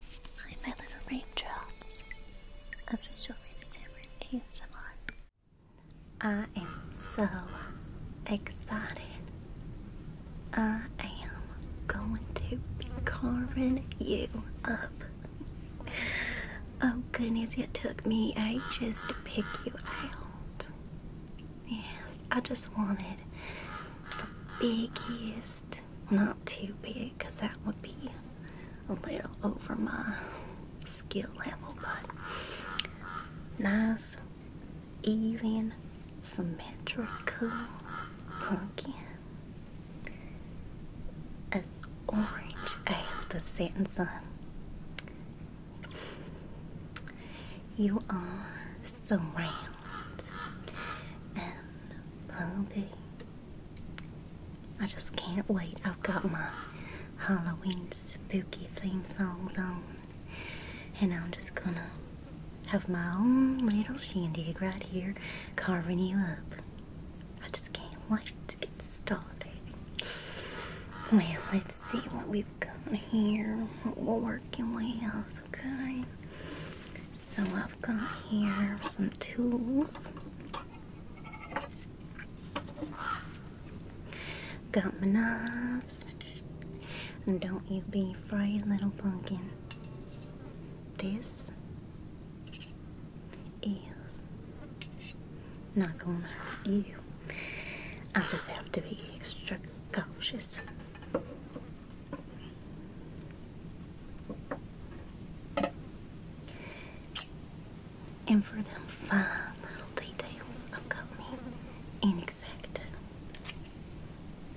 Hi, my little raindrops. Official Rainy Tamarind ASMR. I am so excited. I am going to be carving you up. Oh goodness, it took me ages to pick you out. Yes, I just wanted the biggest not too big because that would be a little over my skill level, but nice, even, symmetrical pumpkin. As orange as the setting sun. You are surrounded and pumping I just can't wait. I've got my Halloween spooky theme songs on, and I'm just gonna have my own little shindig right here carving you up. I just can't wait to get started. Well, let's see what we've got here, what we're okay? So I've got here some tools. Got my knives. And don't you be afraid, little pumpkin. This is not gonna hurt you. I just have to be extra cautious. And for them fine little details, I've got me an exact.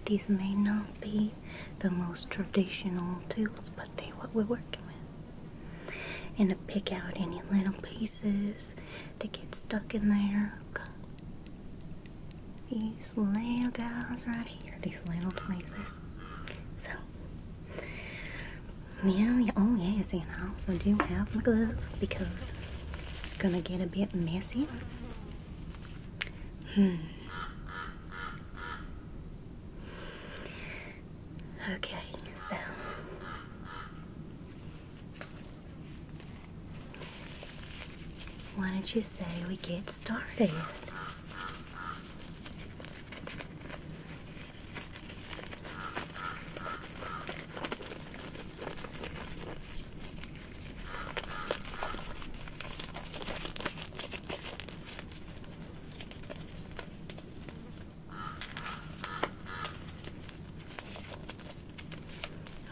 These may not be the most traditional tools, but they're what we're working with. And to pick out any little pieces that get stuck in there, these little guys right here, these little pieces. So, yeah, oh yes, and I also do have my gloves because it's gonna get a bit messy. Hmm. Okay, so why don't you say we get started?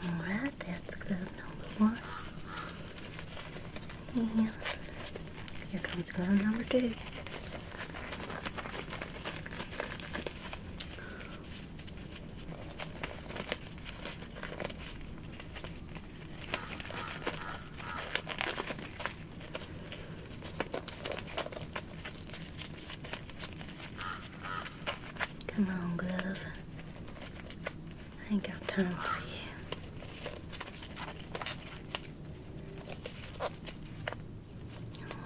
Alright, that's clue number one. Mm-hmm. here comes glove number two. Come on, glove. I ain't got time for you.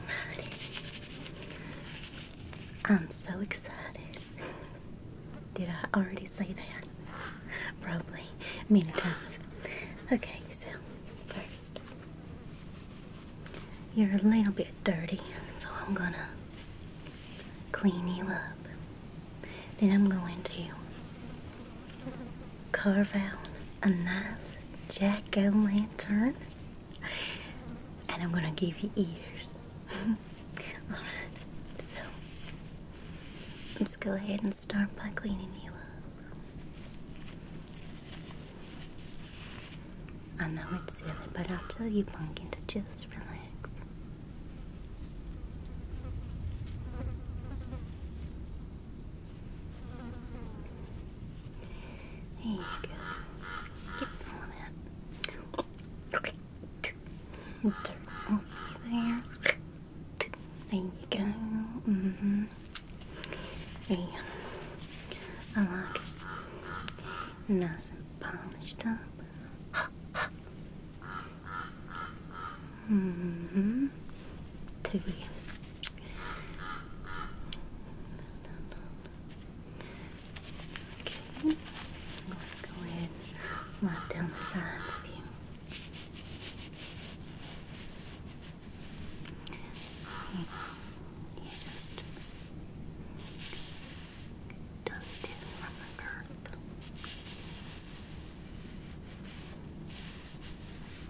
Alrighty. I'm so excited. Did I already say that? Probably many times. Okay, so first, you're a little bit dirty, so I'm gonna clean you up. Then I'm going to carve out a nice jack o' lantern, and I'm gonna give you ears. Alright, so let's go ahead and start by cleaning you up. I know it's silly, but I'll tell you, Pumpkin, to just relax. There you go. Get some of that. Okay. there. There you go. hmm There I like Nice polished up. Mm -hmm. Two. Okay. Let's go ahead and wipe down the sides of you. You just dust it from the earth.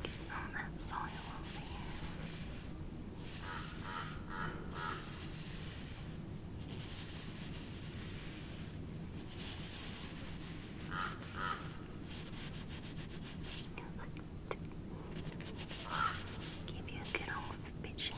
Just on that soil over here. Give you a good old spit shot,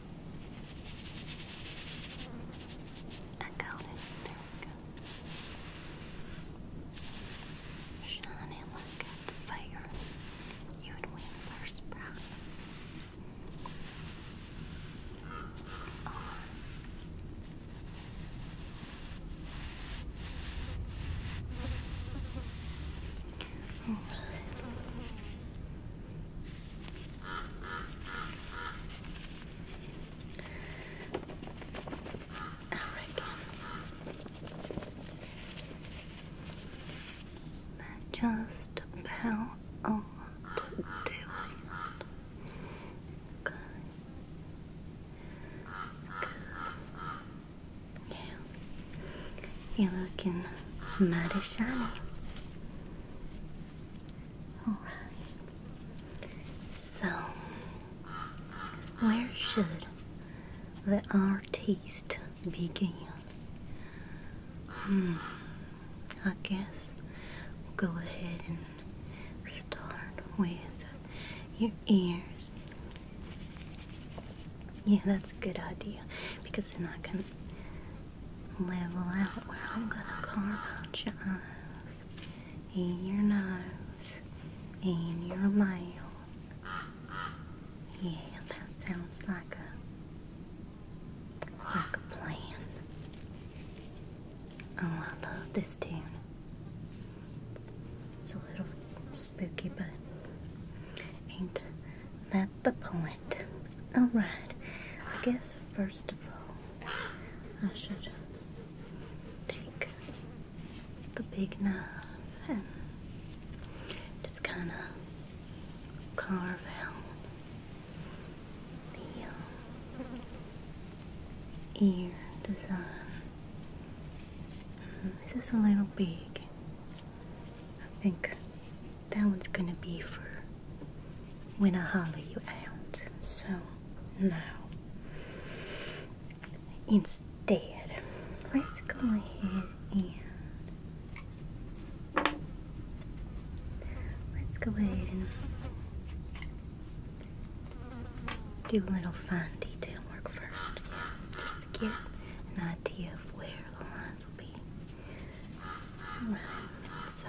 I There we go. Shining like the fire, you'd win first prize. On. I just about all to do It's good. Yeah. You're looking mighty shiny. All right. So, where should the artist begin? Hmm. I guess we'll go ahead and start with your ears. Yeah, that's a good idea because they're not gonna level out where I'm gonna carve out your eyes and your nose in your mouth. Yeah, that sounds like a like a plan. Oh, I love this tune. It's a little spooky, but ain't that the point? All right. I guess first I should take the big knife and just kind of carve out the uh, ear design. Mm, this is a little big. I think that one's gonna be for when I holler you out. So now, instead, let's go ahead and let's go ahead and do a little fine detail work first, just to get an idea of where the lines will be. Alright, so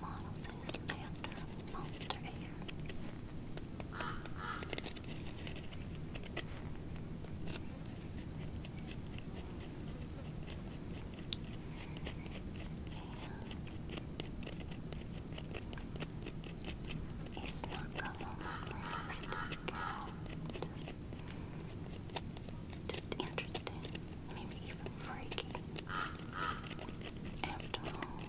model this after Monster Air. And it's not going to just, just interesting maybe even freaky. After all, you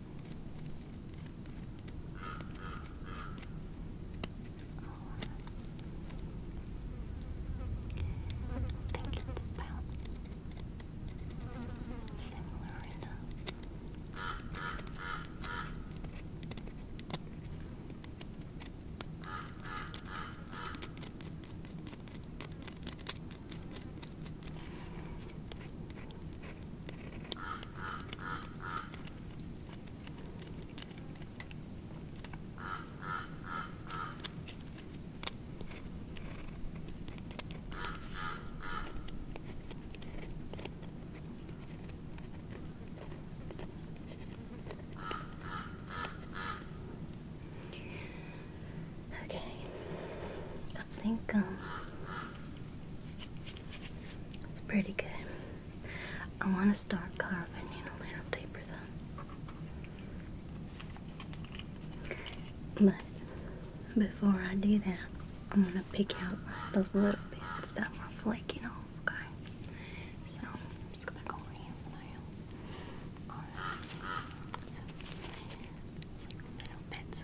think it's about similar enough. Okay, I think um, it's pretty good. I want to start carving in a little deeper though. But before I do that, I'm going to pick out those little bits that were flaking off, okay? So, I'm just going to go over here for now. Alright. little bits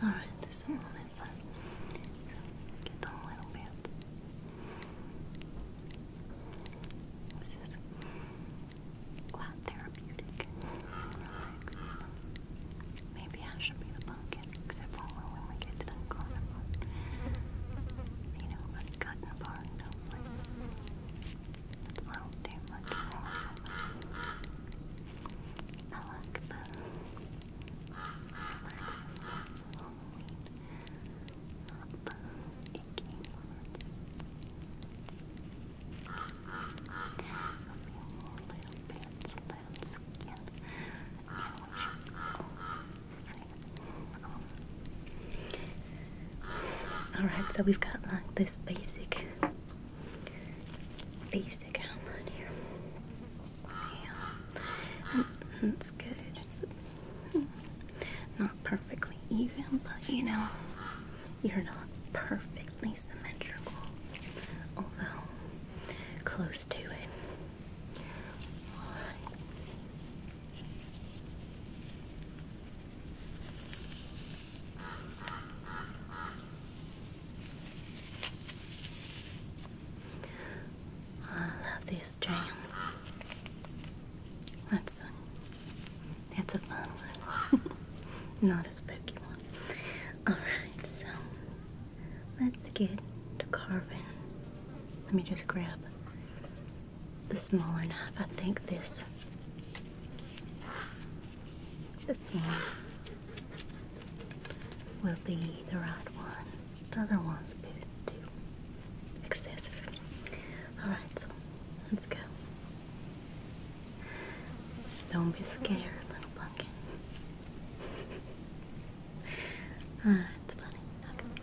All right, this one is done. Uh, get them little bit. This is quite therapeutic. Relax. Maybe I should be the pumpkin, except for well, when we get to that corner You know, I've gotten apart, hopefully. That's a little too much I like the relaxing parts of Halloween, I feel more little bits of skin, Alright, so we've got like this basic basic outline here. Yeah. That's good. not perfectly even, but you know, you're not perfectly symmetrical. Although close to it. I love this jam. That's a, a fun one. Not a spooky one. Alright, so let's get to carving let me just grab the smaller knife. I think this, this one will be the right one. The other one's a bit too excessive. All right, so let's go. Don't be scared, little pumpkin. Ah, it's funny. Okay.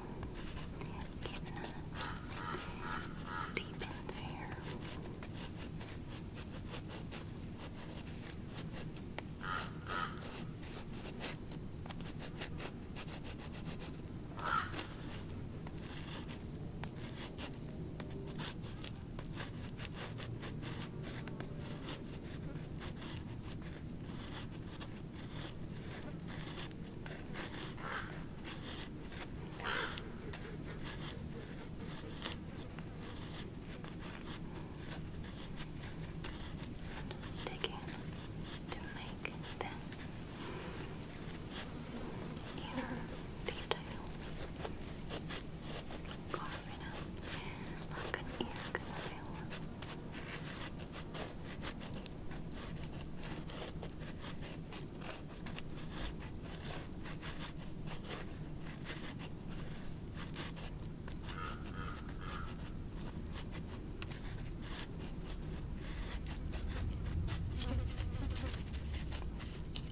Getting deep in there. Good. Digging to make them your detail. Carving out like an ear canal. Carving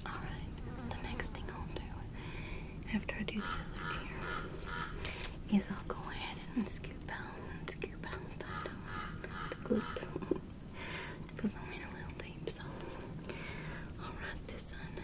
all right, the next thing I'll do after I do the other ear is I'll go ahead and scoop out and scoop out the, the glue because I went a little deep, so I'll write this on now.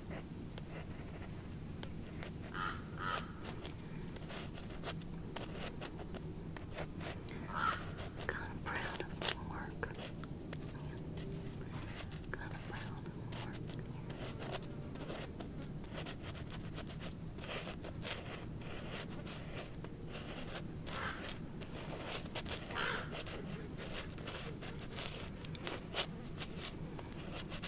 Kind of proud of the work. Yeah. Kind of proud of the work. Yeah.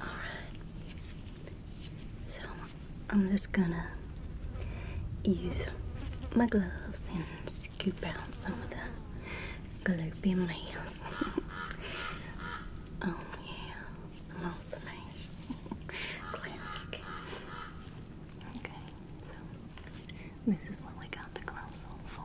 Alright. So I'm just gonna use my gloves and scoop out some of the gloopy mess. oh yeah, the mouse face. Classic. Okay, so this is what we got the gloves on for.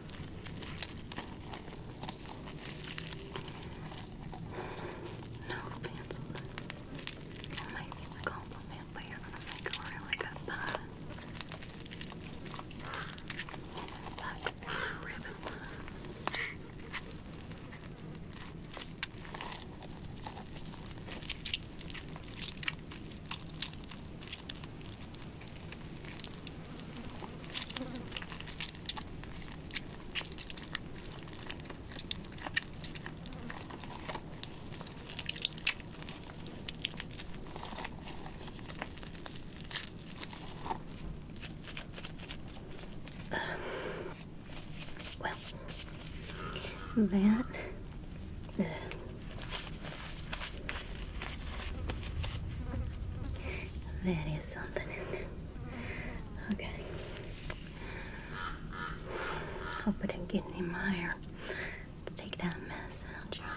No pencil. It might be a compliment, but you're gonna make a really good pie. That's ribbon well, that uh, there is something in there. Okay. Hope it didn't get any mire. Let's take that mess out your other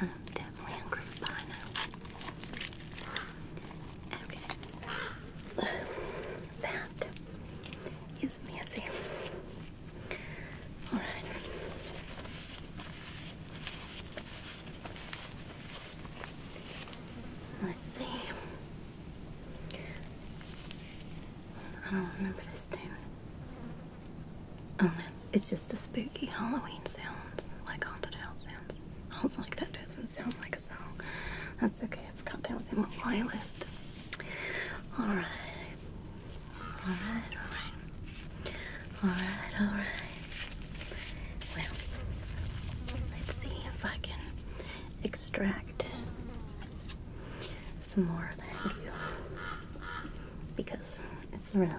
I'm definitely hungry by now. Okay. That is messy. Alright. Let's see. I don't remember this name. Oh, it's just a spooky Halloween sounds, like haunted house sounds. I was like, that doesn't sound like a song. That's okay, I forgot that was in my playlist. Alright. Alright, alright. Alright, alright. Well, let's see if I can extract some more of that because it's really in there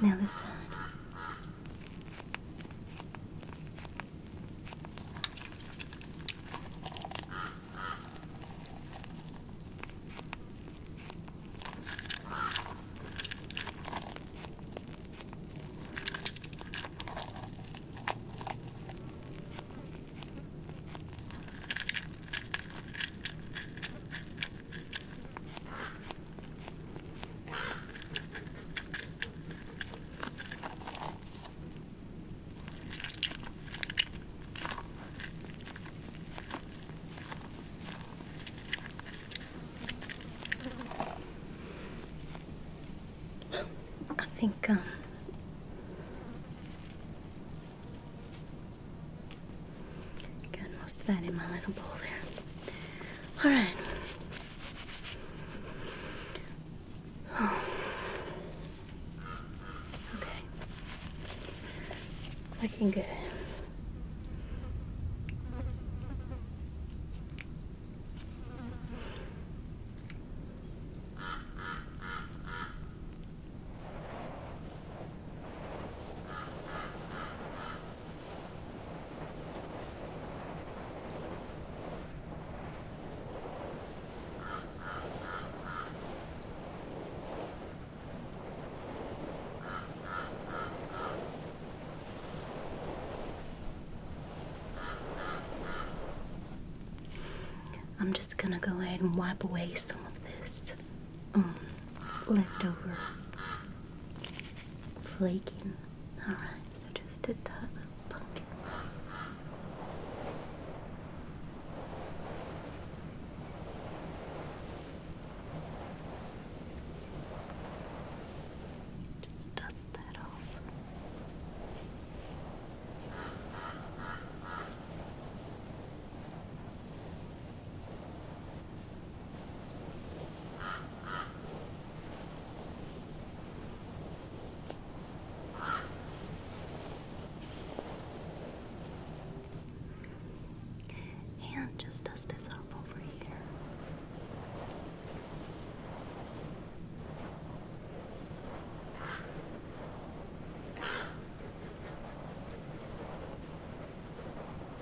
Now this I think um Got most of that in my little bowl there. All right. Oh. Okay. Looking good. I'm just gonna go ahead and wipe away some of this um, leftover flaking. Alright, so just did that Just dust that off. And just dust this up over here.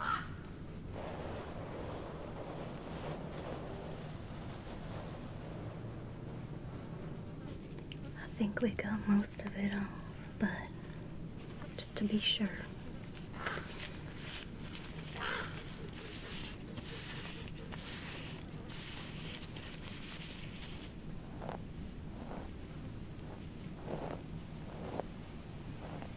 I think we got most of it off, but just to be sure.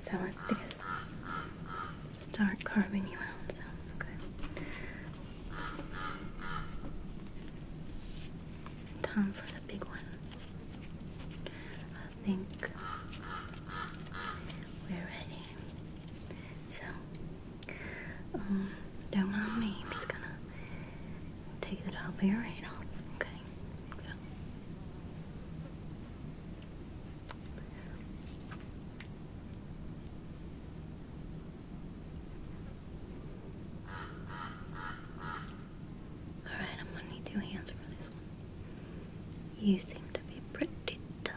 So let's just start carving you out. okay. Time for the big one. I think we're ready. So, um, don't mind me. I'm just gonna take the top of your head off. Okay. Alright, I'm gonna need two hands for this one. You seem to be pretty tough.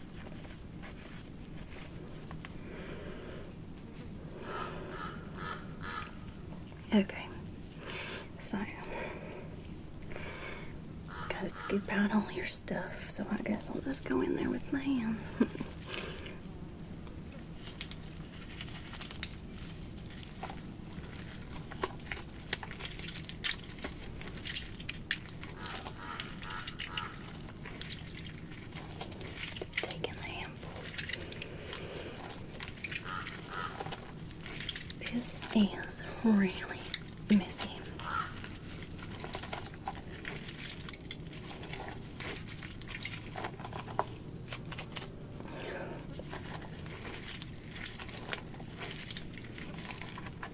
Okay, so gotta scoop out all your stuff, so I guess I'll just go in there with my hands. Just taking the handfuls. This is really messy.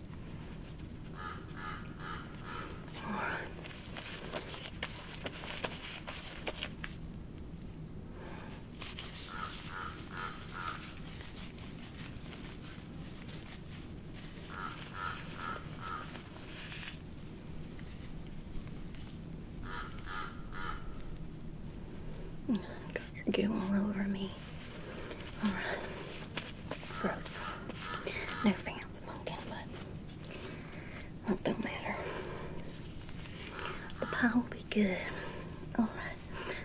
All right. Got your goo all over me. All right. Gross. No fans pumpkin, but that don't matter. The pie will be good. Alright,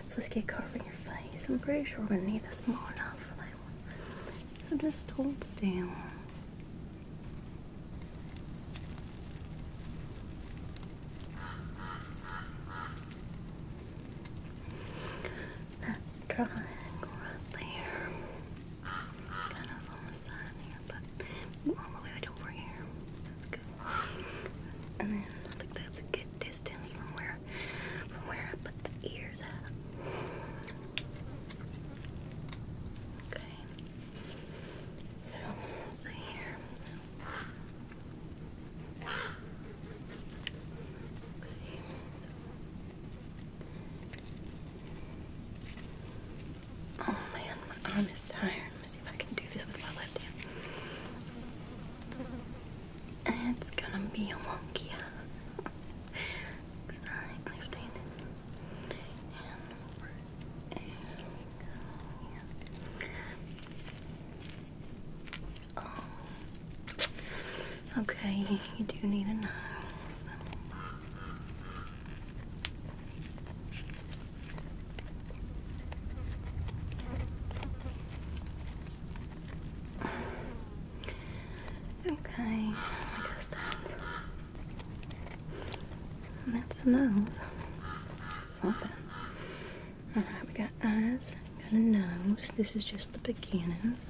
so let's get carving your face. I'm pretty sure we're gonna need a small knife for that one. So just hold it down. That's triangle right there. It's kind of on the side here, but all the way right over here. That's good. And then I think that's a good distance from where from where I put the ears at. Okay. So let's see here. Okay. So, Oh man, my arm is tired. Let me see if I can do this with my left hand. It's gonna be a monkey. Alright, left hand Okay, you do need a knife. Okay, I guess that's, a nose. Something. Alright, we got eyes, got a nose. This is just the beginners.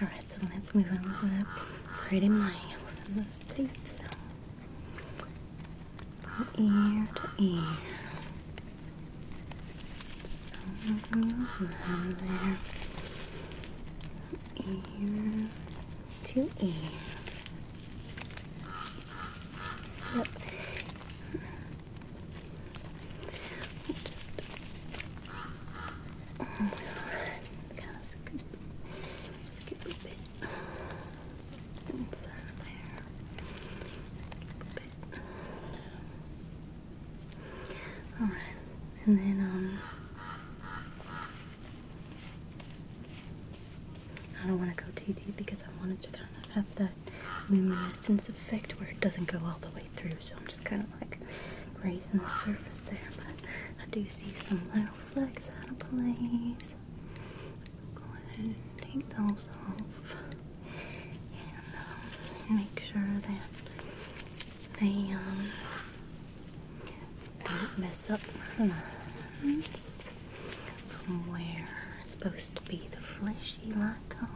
Alright, so let's move on with pretty mouth. Let's place this on from ear to ear. So there. Ear to ear. All right, and then um, I don't want to go TD because I wanted to kind of have that luminescence effect where it doesn't go all the way through. So just kind of like raising the surface there, but I do see some little flecks out of place. Go ahead and take those off and um, make sure that they um, don't mess up from where it's supposed to be the fleshy light color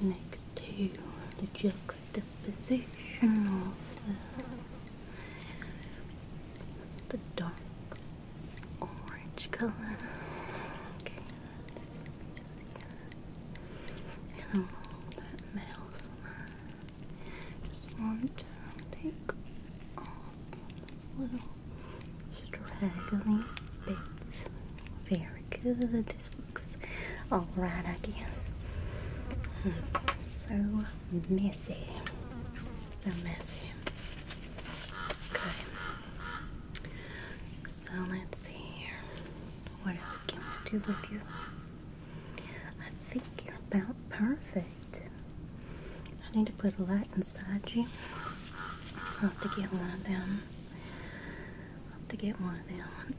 next to the jukes the position of the, dark orange color. Okay, and along that middle just want to take off little straggly bits. Very good alright, I guess. So messy. So messy. Okay. So let's see here. What else can we do with you? I think you're about perfect. I need to put a light inside you. I'll have to get one of them. have to get one of them.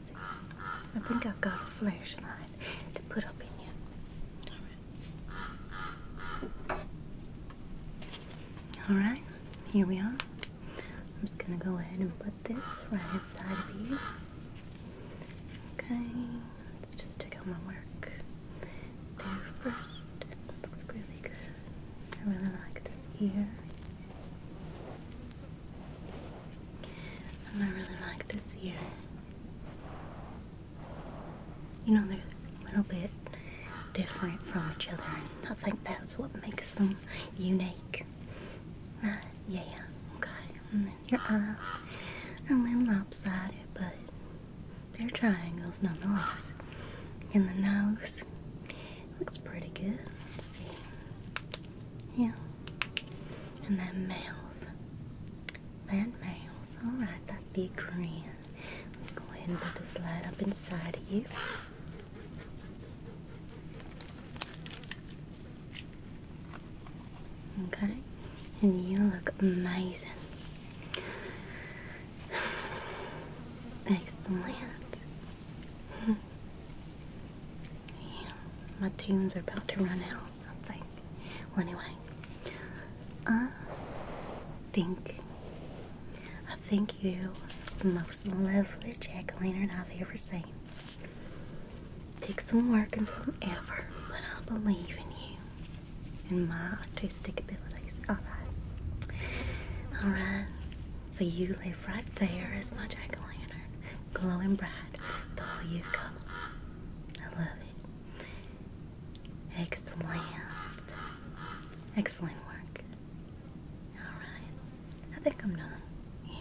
I think I've got a flashlight to put up in you. Alright. here we are. I'm just gonna go ahead and put this right inside of you. Okay, let's just check out my work there first. It looks really good. I really like this ear. I really like this ear. You know, they're a little bit different from each other, and I think that's what makes them unique. Right? Uh, yeah, okay. And your eyes are a little lopsided, but they're triangles nonetheless. And the nose looks pretty good. Let's see. Yeah and that mouth. That mouth. Alright, that big grin. let go ahead and put this light up inside of you. Okay, and you look amazing. Excellent. Hmm. Yeah, my tunes are about to run out, I think. Well, anyway, I think, I think you are the most lovely jack-o'-lantern I've ever seen. Take some work and some effort, but I believe in you and my artistic abilities. Alright. Alright. So you live right there as my jack-o'-lantern, glowing bright the way you've come. I love it. Excellent. Excellent work. Alright. I think I'm done. Yeah.